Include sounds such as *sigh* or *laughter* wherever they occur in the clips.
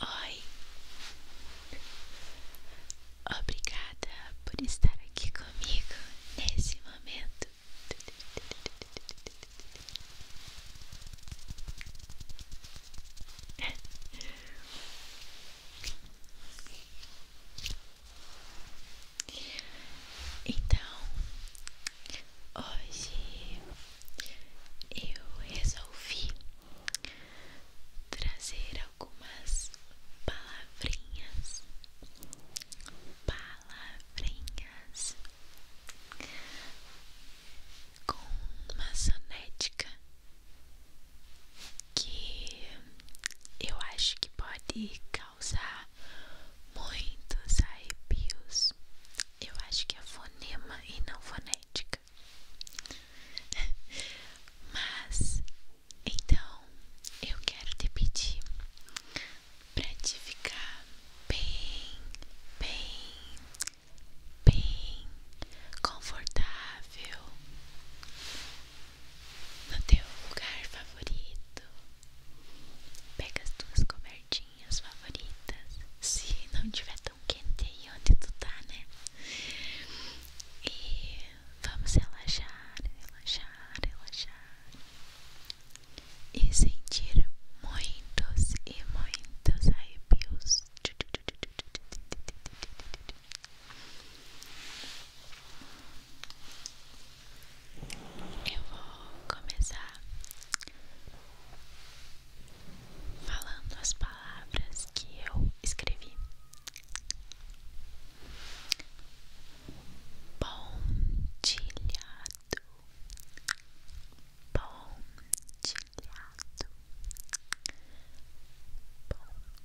Oi, obrigada por estar aqui comigo nesse momento. *laughs* Então, Hoje eu resolvi trazer algumas palavrinhas, palavrinhas com uma sonética que eu acho que pode causar muitos arrepios eu acho que é fonema e não fonética. Mas então eu quero te pedir para te ficar bem, bem, bem confortável no teu lugar favorito. Pega as tuas cobertinhas minhas favoritas. Se não tiver tão quente aí onde tu tá, né? E vamos relaxar, relaxar, relaxar. E sentir muitos e muitos arrepios. Eu vou começar falando as palavras que eu escrevi. Pontilhado, pontilhado, pontilhado,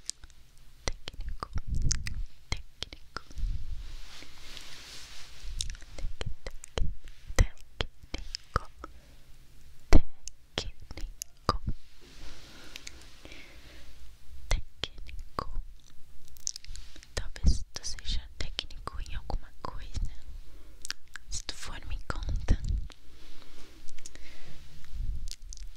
técnico, técnico, técnico, tec, técnico, técnico, técnico. Talvez tu seja técnico em alguma coisa. Se tu for, me conta.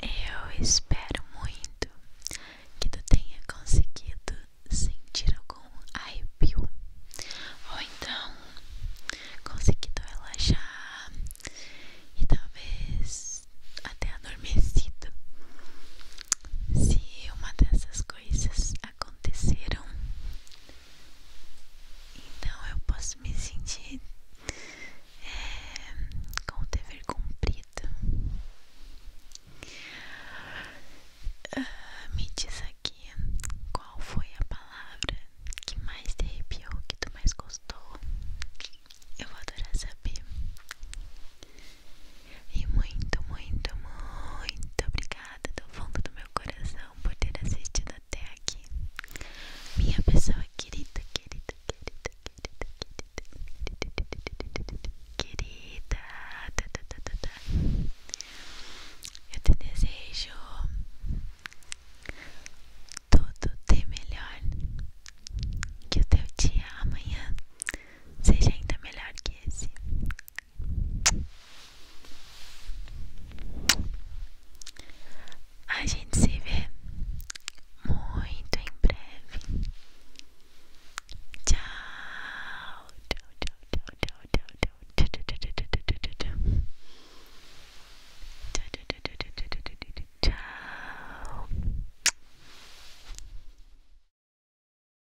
Eu espero muito que tu tenha conseguido sentir algum arrepio ou então conseguido relaxar e talvez até adormecido. Se uma dessas coisas aconteceram, então eu posso me sentir é, com o dever cumprido. Ah, me diz aqui qual foi a palavra que mais te arrepiou, que tu mais gostou. Eu vou adorar saber. E muito, muito, muito obrigada do fundo do meu coração atenção por ter assistido até aqui. Minha pessoa querida, querida, querida, querida, querida, querida, tá, tá, tá, tá, tá. Eu te desejo tudo de melhor. Que o teu dia amanhã seja ainda melhor que esse. A gente se vê muito em breve. Tchau, tchau, tchau, tchau, tchau, tchau, tchau, tchau, tchau, tchau,